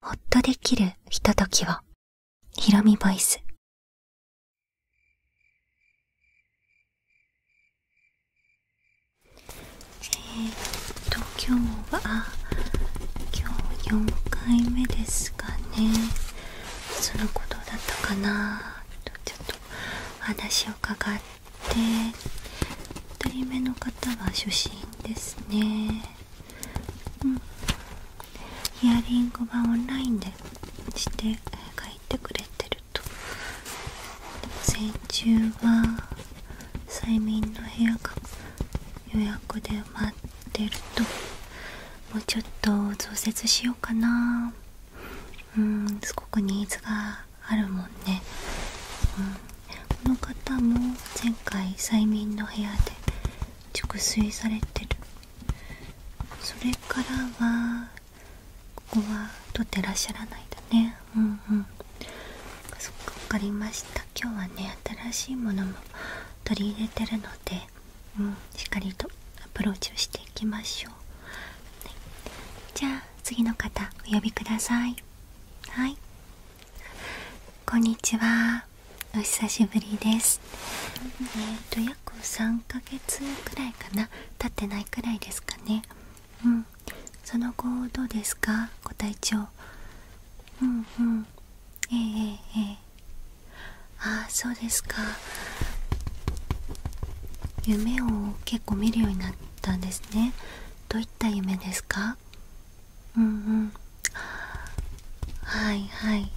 ほっとできるひとときをひろみボイスえっと今日は今日4回目ですかねそのことだったかなとちょっと話を伺って2人目の方は初心ですねうんヒアリングはオンラインでして書いてくれてると先中は催眠の部屋が予約で待ってるともうちょっと増設しようかなうんすごくニーズがあるもんね、うん、この方も前回催眠の部屋で熟睡されてるそれからはここは取ってらっしゃらないだねうんうんそっか分かりました今日はね新しいものも取り入れてるので、うしっかりとアプローチをしていきましょう、はい、じゃあ次の方お呼びくださいはいこんにちはお久しぶりですえっ、と約3ヶ月くらいかな経ってないくらいですかねうんその後どうですかご体調うんうんええええああそうですか夢を結構見るようになったんですねどういった夢ですかうんうんはいはい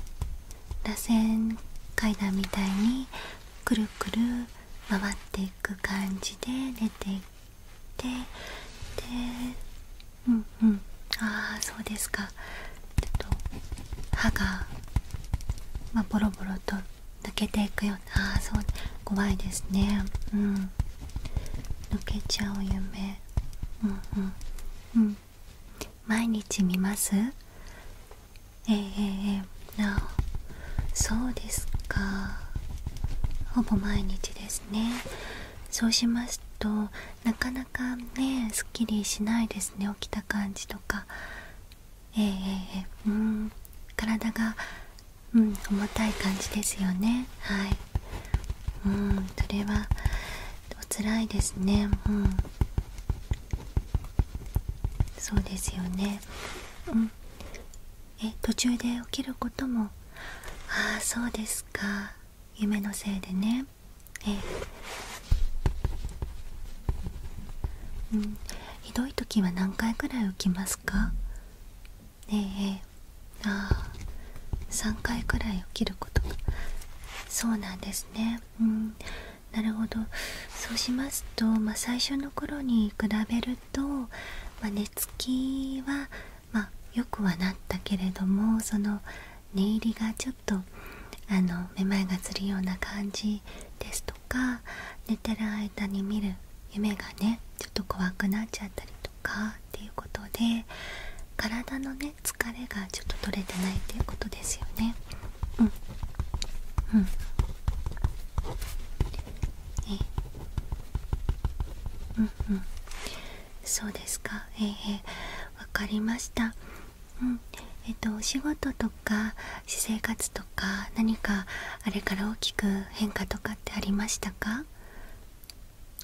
螺旋階段みたいにくるくる回っていく感じで出ていってでうんうんああそうですかちょっと歯が、まあ、ボロボロと抜けていくようなああそう怖いですねうん抜けちゃう夢うんうんうんうん毎日見ますえなあそうですかほぼ毎日ですねそうしますとなかなかねすっきりしないですね起きた感じとかえー、うん体が、うん、重たい感じですよねはいうんそれはおつらいですねうんそうですよねうんえ途中で起きることもああそうですか夢のせいでねえうんひどい時は何回くらい起きますかねええああ3回くらい起きるそうなんですねうんなるほどそうしますと、まあ、最初の頃に比べると、ま寝つきは、まあ、よくはなったけれどもその寝入りがちょっとあのめまいがするような感じですとか寝てる間に見る夢がねちょっと怖くなっちゃったりとかっていうことで体のね疲れがちょっと取れてないっいうことですよねうんうんえうんうんそうですかええわかりましたうんえっとお仕事とか私生活とか何かあれから大きく変化とかってありましたか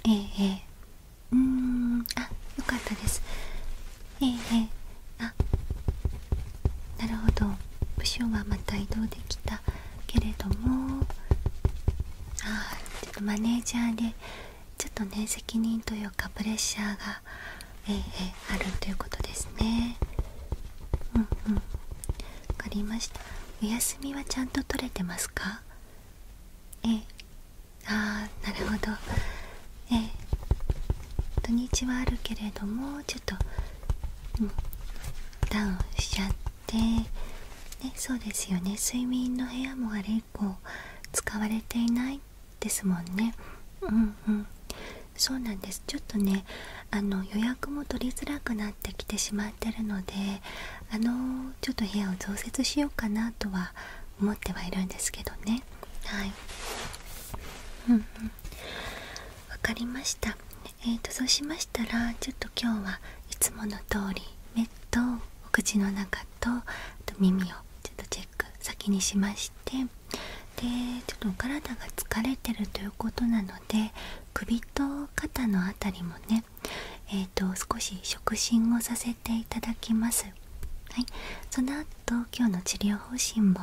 ええうーんあよかったですええあなるほど部署はまた移動できたけれどもあマネージャーでちょっとね責任というかプレッシャーが、ええ、あるということですねうんうん分かりましたお休みはちゃんと取れてますかええああなるほどええ土日はあるけれどもちょっと、ダウンしちゃってねそうですよね睡眠の部屋もあれ以降使われていないですもんねうんうんそうなんですちょっとねあの予約も取りづらくなってきてしまってるのであのちょっと部屋を増設しようかなとは思ってはいるんですけどねはいうかりましたえーとそうしましたらちょっと今日はいつもの通り目とお口の中と耳をちょっとチェック先にしましてでちょっとお体が疲れてるということなので首と肩の辺りもねえーと少し触診をさせていただきますはい、その後今日の治療方針も、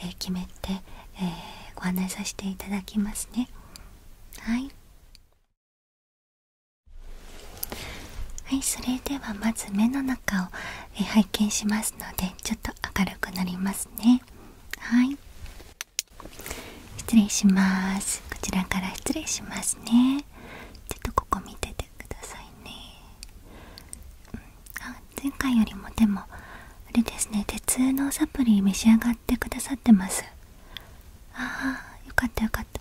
え決めて、えー、ご案内させていただきますねはいはいそれではまず目の中を、え拝見しますのでちょっと明るくなりますねはい失礼しますこちらから失礼しますねちょっとここ見てくださいね、前回よりもでもあれですね鉄のサプリ召し上がってくださってますああよかったよかった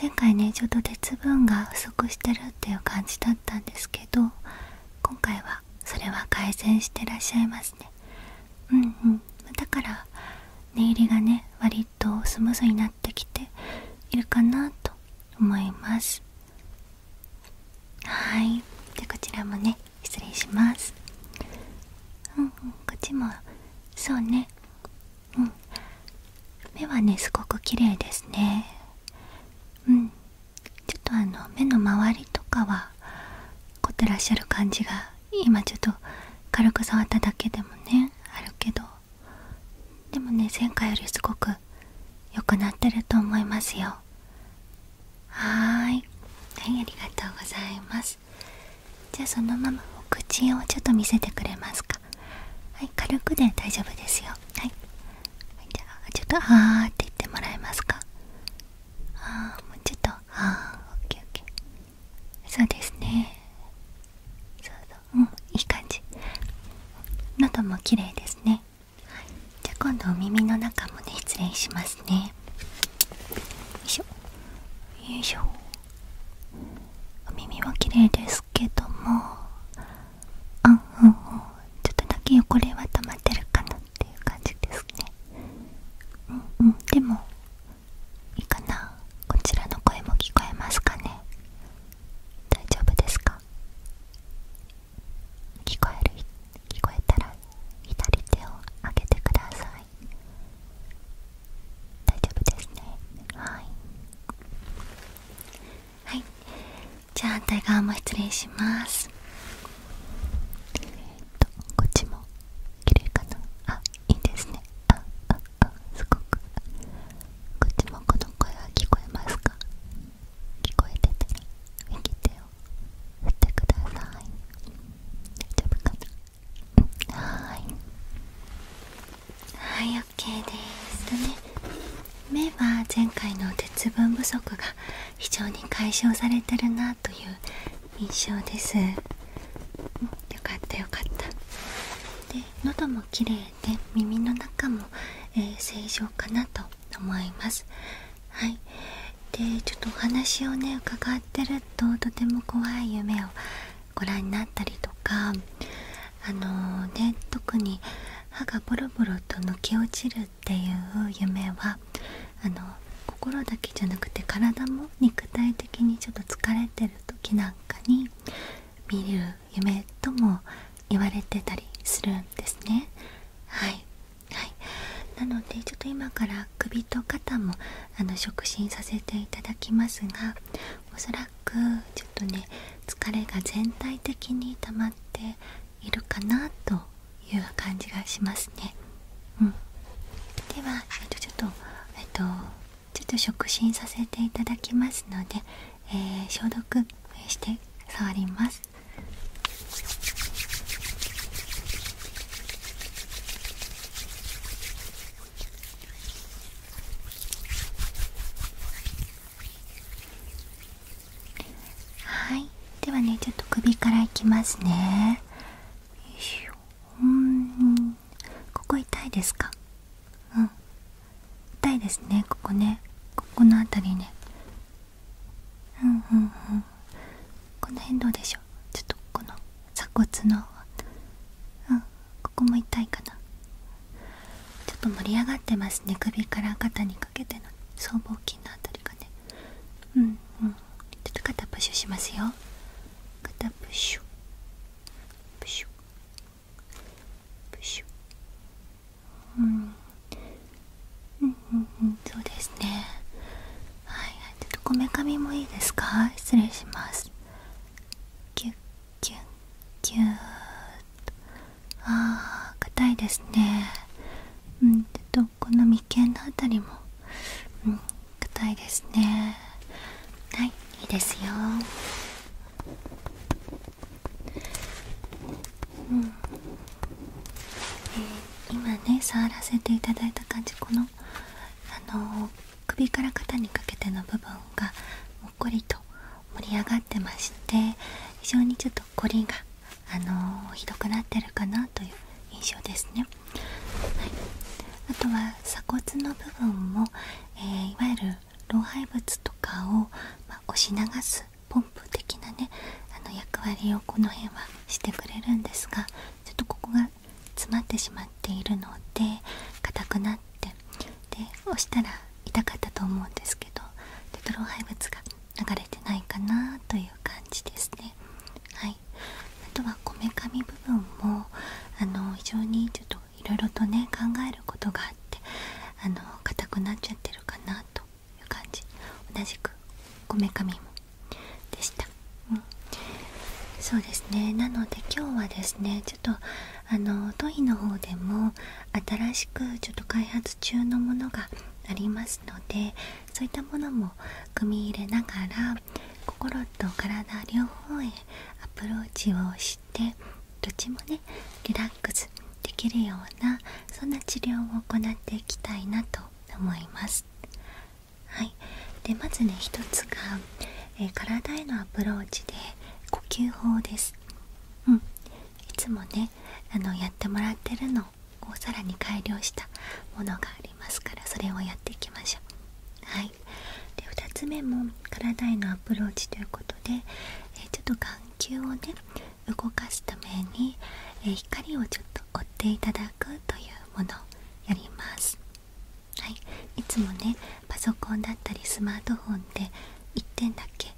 前回ねちょっと鉄分が不足してるっていう感じだったんですけど今回はそれは改善してらっしゃいますねうんうんだから寝入りがねとスムーズになってきているかなと思いますはいでこちらもね失礼しますこっちもそうねうん目はねすごく綺麗ですねうんちょっとあの目の周りとかは凝ってらっしゃる感じが今ちょっと軽く触っただけでもねあるけどでもね前回よりすごく良くなってると思いますよはーいはいありがとうございますじゃあそのままお口をちょっと見せてくれますかはい軽くで大丈夫ですよはいじゃあちょっと「はあって言ってもらえますかあーもうちょっと「あー」OKOK、OK OK、そうですねうんいい感じ喉も綺麗ですね、じゃあ今度お耳の中もね失礼しますねよいしょよいしょお耳は綺麗ですけどもあんうんんちょっとだけ汚れは溜まってるかなっていう感じですねうんでもいいかなこちらの声も聞こえますかね大丈夫ですか聞こえる聞こえたら左手を上げてください大丈夫ですねはいはいじゃあ反対側も失礼しますえっとこっちも綺麗かなあいいですねあああすごくこっちこの声聞こえますか聞こえてた右手を振ってくださいはいはい OK ですとね目は前回の鉄分不足が非常に解消されてるなという印象ですよかったよかったで喉もで耳の中も、え正常かなと思いますはいでちょっとお話をね伺ってるととても怖い夢をご覧になったりとかあのね特に歯がボロボロと抜け落ちるっていう夢はあの心だけじゃなくて体も肉体的にちょっと疲れてる時なんかに見る夢とも言われてたりするんですねはいはいなのでちょっと今から首と肩もあの触診させていただきますがおそらくちょっとね疲れが全体的に溜まっているかなという感じがしますねうんではちょっとえっとちょっと触診させていただきますのでえー、消毒して触りますはいではねちょっと首からいきますねここ痛いですかうん痛いですねここねここの辺りねうんうんうんこの辺どうでしょうちょっとこの鎖骨のうここも痛いかなちょっと盛り上がってますね首から肩にかけての僧帽筋の辺りがねうんうんちょっと肩プッシュしますよ肩プッシュプッシュプシュうんうんうんそうですねはいちょっとこめかみもいいですか失礼しますキュッキュッキュッとあー硬いですねうんちょっとこの眉間の辺りもうん硬いですねはいいいですようんえ今ね触らせていただいた感じこのあの首から肩にかけての部分がもっこりと盛り上がってまして非常にちょっと凝りがあのひどくなってるかなという印象ですね。はい、あとは鎖骨の部分も、えいわゆる老廃物とかを、ま押し流すポンプ的なねあの役割をこの辺はしてくれるんですがちょっとここが詰まってしまっているので硬くなってで押したら痛かったと思うんですけどちょっと老廃物が流れてないかなという感じですね。はい、あとはこめかみ部分もあの非常にちょっといろいろとね考えることがあってあの硬くなっちゃってるかなという感じ同じくこめかみもでした、うん、そうですねなので今日はですねちょっとあのトイの方でも新しくちょっと開発中のものがありますのでそういったものも組み入れながら心と体両方へアプローチをしてどっちもねリラッッできるようなそんな治療を行っていきたいなと思います。はい、でまずね一つが、え体へのアプローチで呼吸法です。うん、いつもねあのやってもらってるのをさらに改良したものがありますからそれをやっていきましょう。はい、で2つ目も体へのアプローチということで、えちょっと眼球をね動かすために、え光をちょっと追っていただくというものやります、はい、いつもねパソコンだったりスマートフォンで1点だけ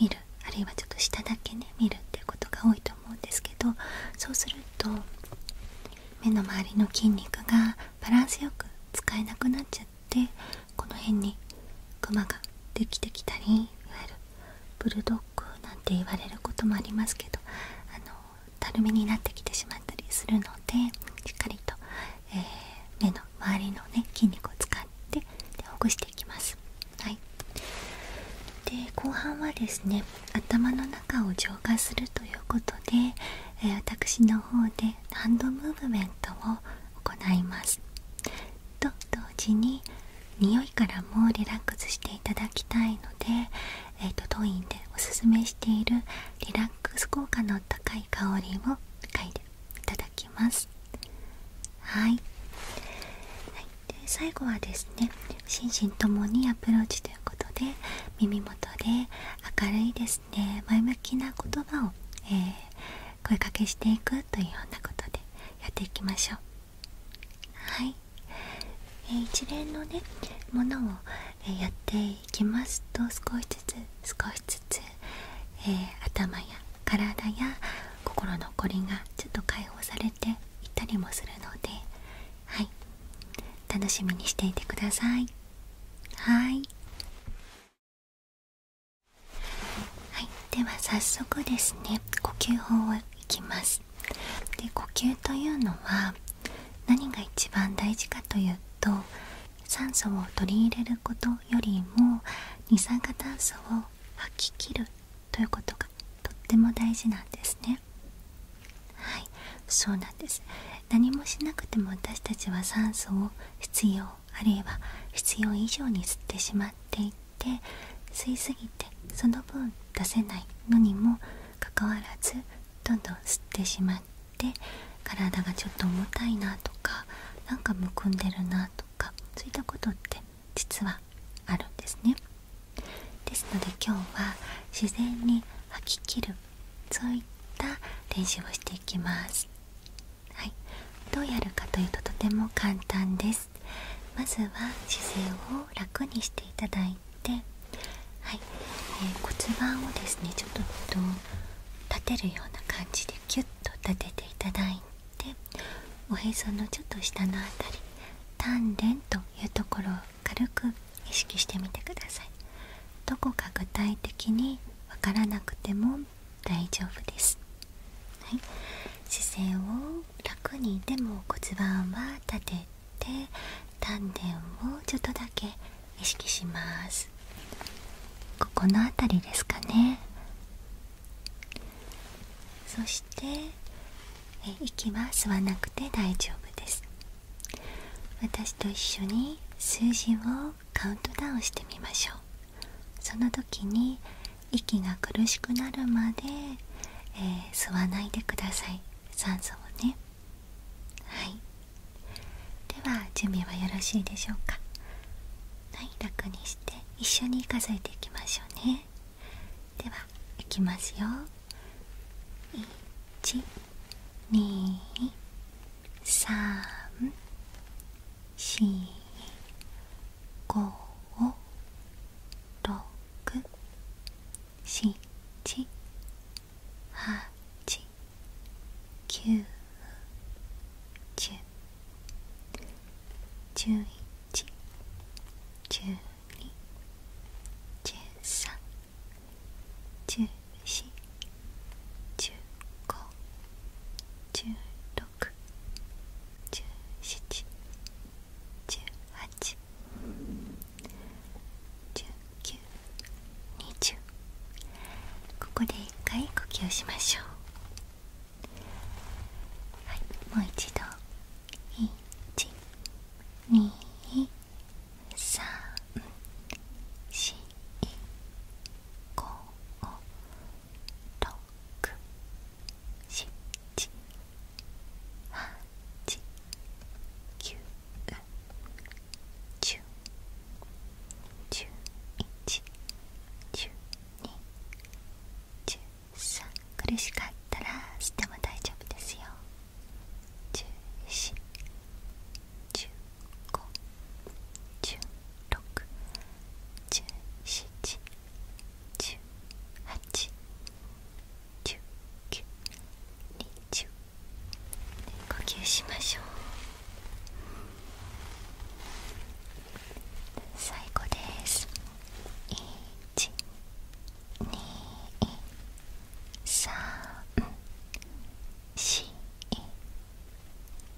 見るあるいはちょっと下だけね見るっていうことが多いと思うんですけどそうすると目の周りの筋肉がバランスよく使えなくなっちゃってこの辺にクマができてきたりいわゆるブルドッグなんて言われることもありますけどあのたるみになってきてしまったりするのでしっかりと、え目の周りのね筋肉を使ってでほぐしていきます。はい、で後半はですね頭の中を浄化するということで、え私の方でハンドムーブメントを行います。と同時に匂いからもリラックスしていただきたいので、えー、と当院でおすすめしているリラックス効果の高い香りを嗅いでいただきますはい、で最後はですね心身ともにアプローチということで耳元で明るいですね前向きな言葉を、え声かけしていくというようなことでやっていきましょうはい、え一連のねものを、えやっていきますと少しずつ少しずつ、え頭や体や心のこりがちょっと解放されていったりもするのではい楽しみにしていてくださいはいはい、では早速ですね呼吸法をいきますで呼吸というのは何が一番大事かというと酸素を取り入れることよりも二酸化炭素を吐き切るということがとっても大事なんですねはいそうなんです何もしなくても私たちは酸素を必要あるいは必要以上に吸ってしまっていっ吸いすぎてその分出せないのにもかかわらずどんどん吸ってしまって体がちょっと重たいなとかなんかむくんでるなとかそういったことって実はあるんですね。ですので今日は自然に吐き切るそういった練習をしていきます。はい、どうやるかというととても簡単です。まずは姿勢を楽にしていただいて、え骨盤をですねちょっと立てるような感じでキュッと立てていただいておへそのちょっと下の辺り丹田というところを軽く意識してみてくださいどこか具体的にわからなくても大丈夫ですはい、姿勢を楽にでも骨盤は立てて丹田をちょっとだけ意識しますここの辺りですかねそしてえ息は吸わなくて大丈夫です私と一緒に数字をカウントダウンしてみましょうその時に息が苦しくなるまで、え吸わないでください酸素をねはいでは準備はよろしいでしょうかはい楽にして一緒に数えていきましょうねではいきますよ1 2 3 4五六七八九十十一十二十三十四十五十六十七18。十九、二十。ここで一回呼吸をしましょう。はい、もう一度。一、二、三、四、五、六。6、7、8、9、10、11、12、13、苦しかったらしても大丈夫ですよ1四1五1六1七十八十九二十呼吸しましょう最後です一二三四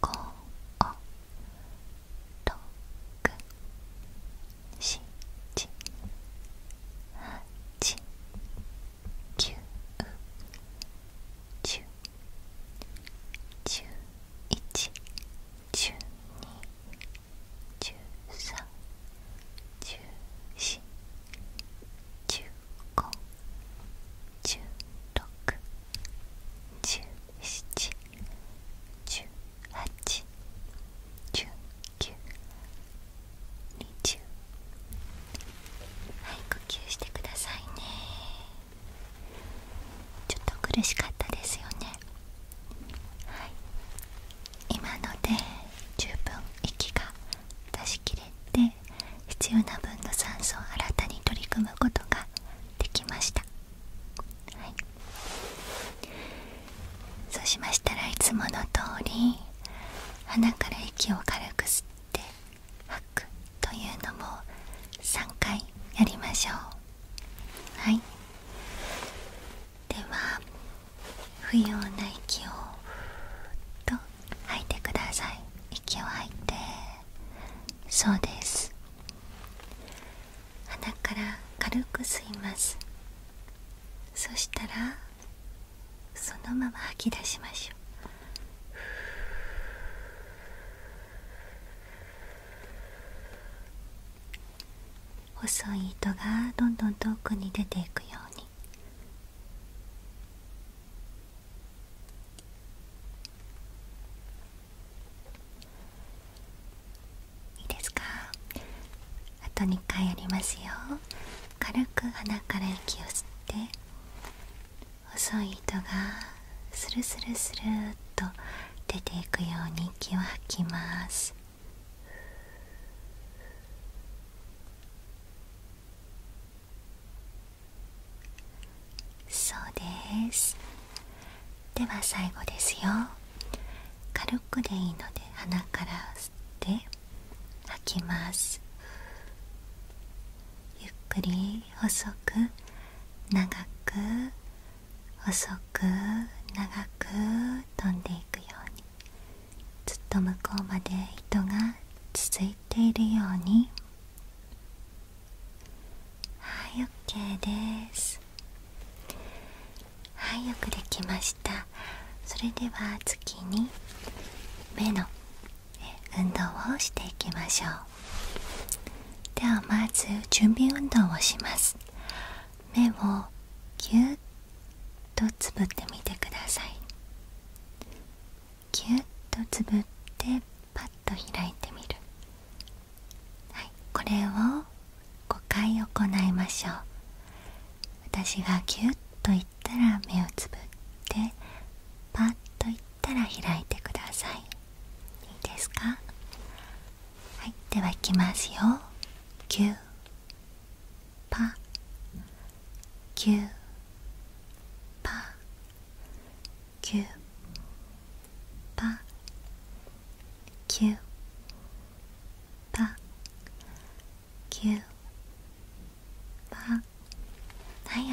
五六十、一、二、三、四、五、六、七、八、九、十、十、一、十、二、十、三、十、四、十、五、十、六、十、七、十、八。はい呼吸してくださいねちょっと苦しかったですよねはい今ので十分息が出し切れて必要な分の酸素を新たに取り組むことができましたそうしましたらいつもの通り鼻から息を軽く吸って吐くというのも3回やりましょうはいでは不要な息をふっと吐いてください息を吐いてそうです鼻から軽く吸いますそしたらそのまま吐き出しましょう細い糸がどんどん遠くに出ていくようにいいですかあと2回やりますよ軽く鼻から息を吸って細い糸がスルスルスルっと出ていくように息を吐きますそうですでは最後ですよ軽くでいいので鼻から吸って吐きますゆっくり細く長く細く長く飛んでいくようにずっと向こうまで糸が続いているようにはい OK ですまはいよくできましたそれでは次に目の運動をしていきましょうではまず準備運動をします目をぎゅっとつぶってみてくださいぎゅっとつぶってパッと開いてみるこれを5回行いましょう私がギュッといったら目をつぶってパッと行ったら開いてくださいいいですかはいではきますよパキューパはい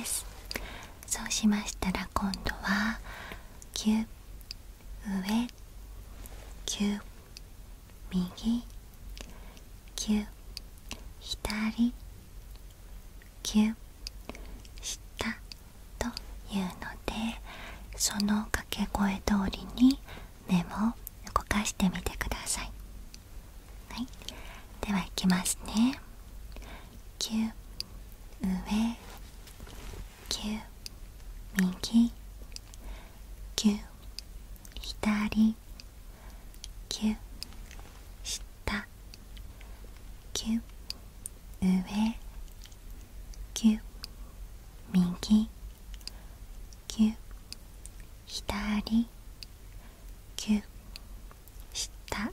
ですそうしましたら今度はキュー上キュー右キュー左キュー下というのでその掛け声通りに「目を動かしてみてくださいはいではいきますね9上9右9左9下9上9右ぎゅ左ぎゅ下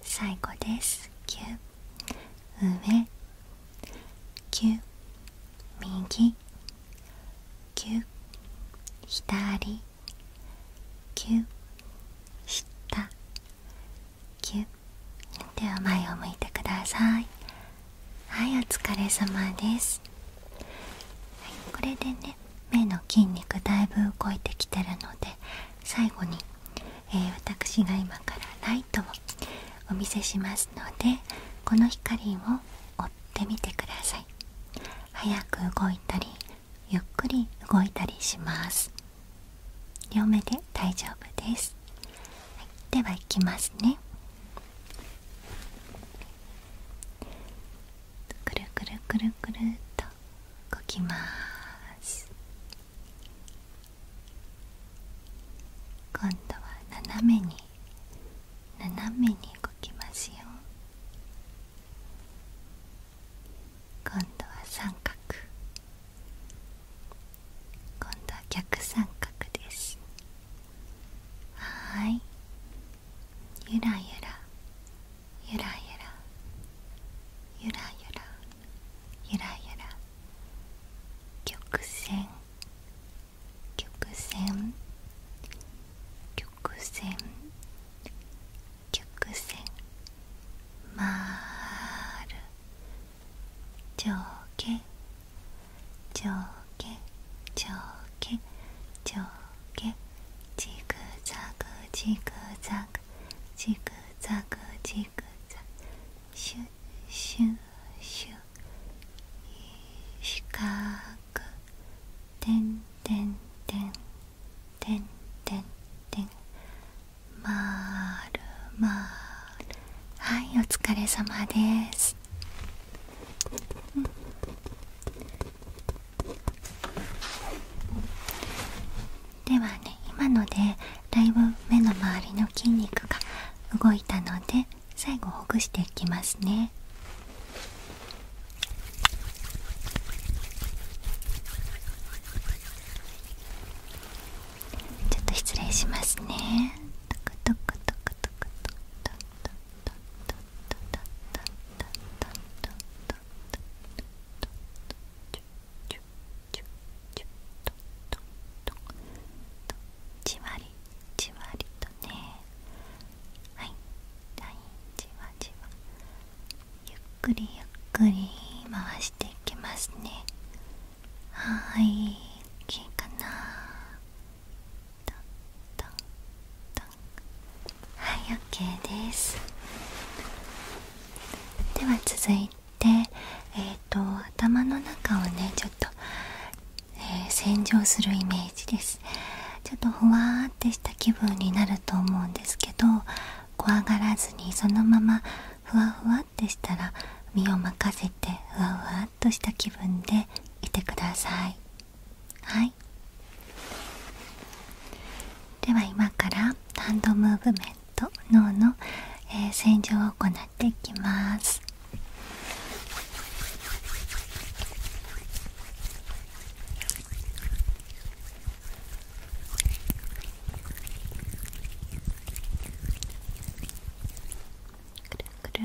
最後ですぎゅ上ぎゅ右ぎゅ左ぎゅ下ぎゅでは前を向いてくださいはいお疲れ様です、はい、これでね目の筋肉だいぶ動いてきてるので最後に、え私が今からライトをお見せしますのでこの光を追ってみてください早く動いたりゆっくり動いたりします両目で大丈夫です、では行きますねくるくるくるくるっとこきます今度は斜めに斜めにこきますよ今度は三角今度は逆三角ですはいゆらゆらゆらゆらゆらゆらゆらゆら曲線曲線曲線曲線まーる上下上下上下上下ジグザグジグザグジグザグジグザグシュッシュッシュッ四角点点点点点点まるまるはいお疲れ様ですうん、ではね今のでだいぶ目の周りの筋肉が動いたので最後ほぐしていきますね。ちょっと失礼しますね。トクトクトじわりじわりとねはいはいじわじわゆっくりゆっくり回していきますねはい、い大きいかなトントンはいですでは続いてえー、と頭の中をねちょっと、え洗浄するイメージですちょっとほわーってした気分になると思うんですけど怖がらずにそのままふわふわってしたら身を任せてふわふわとした気分でいてくださいはいでは今からハンドムーブメント脳の、洗浄を行っていきますくるくる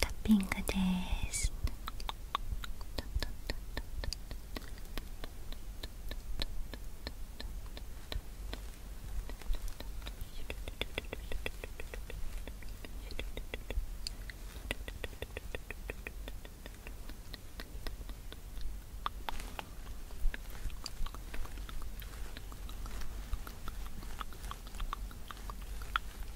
タッピングですタッ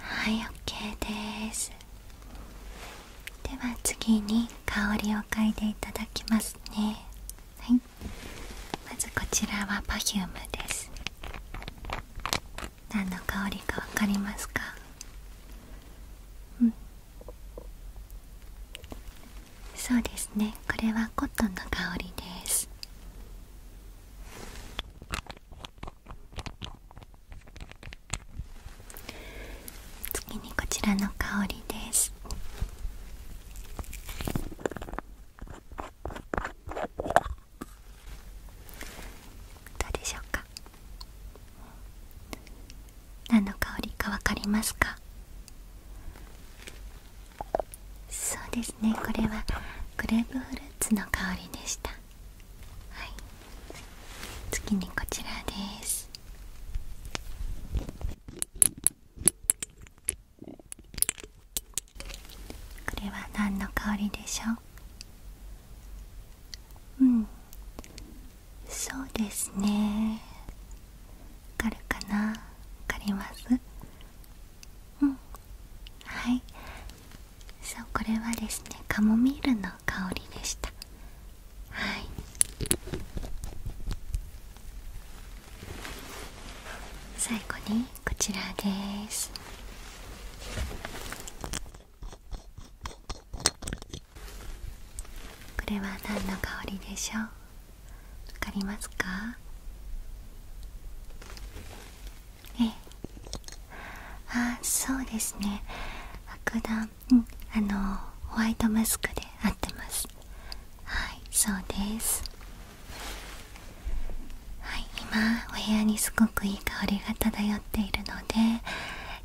はい OK ですでは次に香りを嗅いでいただきますねはいまずこちらは p e r f u です何の香りか分かりますかそうですねこれはコットンの香りです次にこちらの香りですどうでしょうか何の香りか分かりますかそうですねこれはグレープフルーツの香りでしたはい次にこちらですこれは何の香りでしょううんそうですねわかるかなわかりますうんはいそうこれはですねカモミールの香りでしたはい最後にこちらですこれは何の香りでしょうわかりますかええあそうですね白檀うんあのホワイトマスクで合ってますはいそうですはい今お部屋にすごくいい香りが漂っているので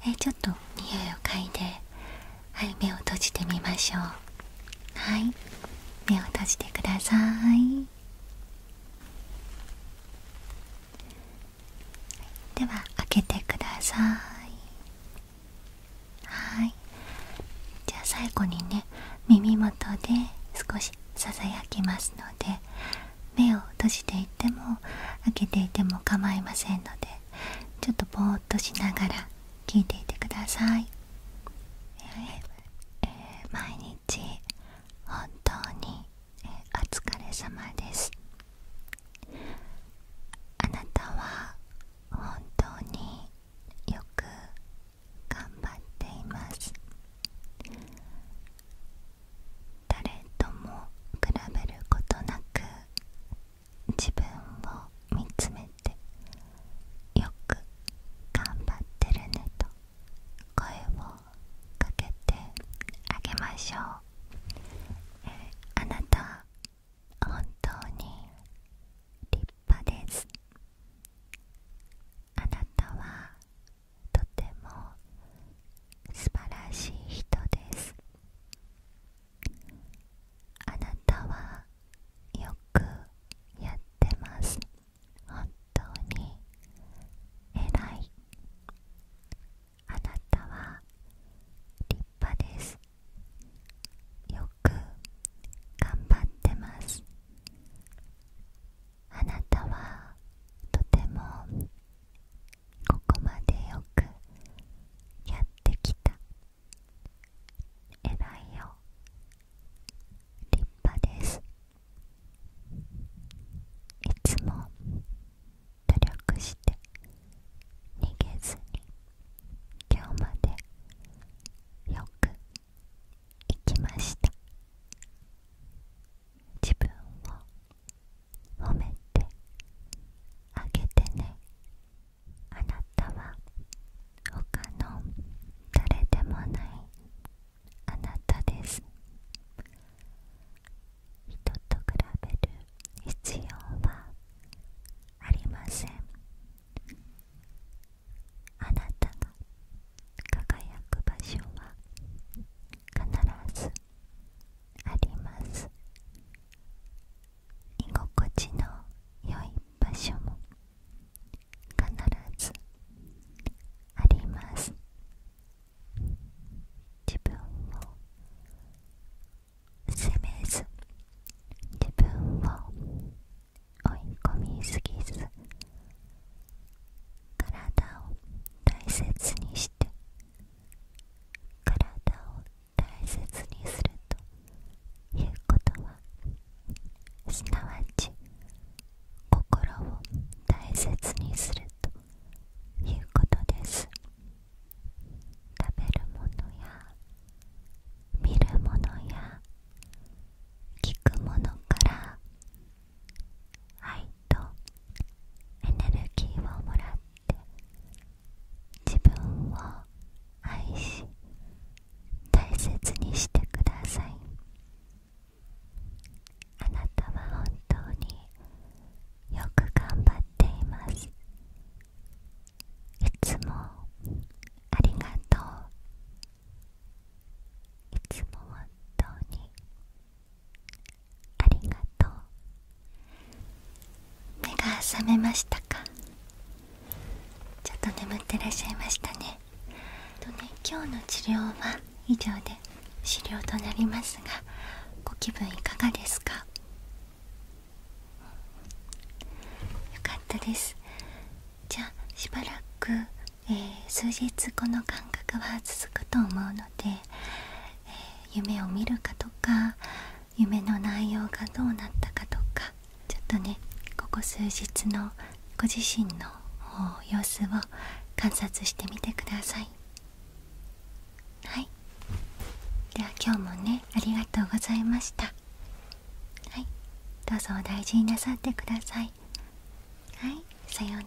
えちょっと匂いを嗅いではい目を閉じてみましょうはい目を閉じてくださいでは開けてくださいはいじゃあ最後にね耳元で少しささやきますので目を閉じていても開けていても構いませんのでちょっとぼーっとしながら聞いていてください、え毎日本当にお疲れ様ですあなたは本当によく頑張っています誰とも比べることなく自分を見つめてよく頑張ってるねと声をかけてあげましょう、あなた本当に立派ですあなたはとても素晴らしい人ですあなたはよくやってます本当に偉いあなたは立派ですよく頑張ってますあなたはとてもここまでよくやってきた偉いよ立派ですいつも努力して逃げずに今日までよくいきました自分を褒めてあげてねあなたは他の誰でもないあなたです人と比べる必要はありませんあなたが輝く場所は必ずあります居心地の良い場所も必ずあります自分を責めず自分を追い込みすぎず体を大切にして体を大切にするということはすなわち心を大切にするということです食べるものや見るものや聞くものから愛とエネルギーをもらって自分を愛し大切にしてくださいあなたは本当によく頑張っていますいつもありがとういつも本当にありがとう目が覚めましたかちょっと眠ってらっしゃいましたねとね今日の治療は以上で終了となりますがご気分いかがですかよかったですじゃあしばらく、え数日この感覚は続くと思うので、え夢を見るかとか夢の内容がどうなったかとかちょっとねここ数日のご自身の様子を観察してみてくださいはいでは今日もねありがとうございましたはいどうぞお大事になさってくださいはいさようなら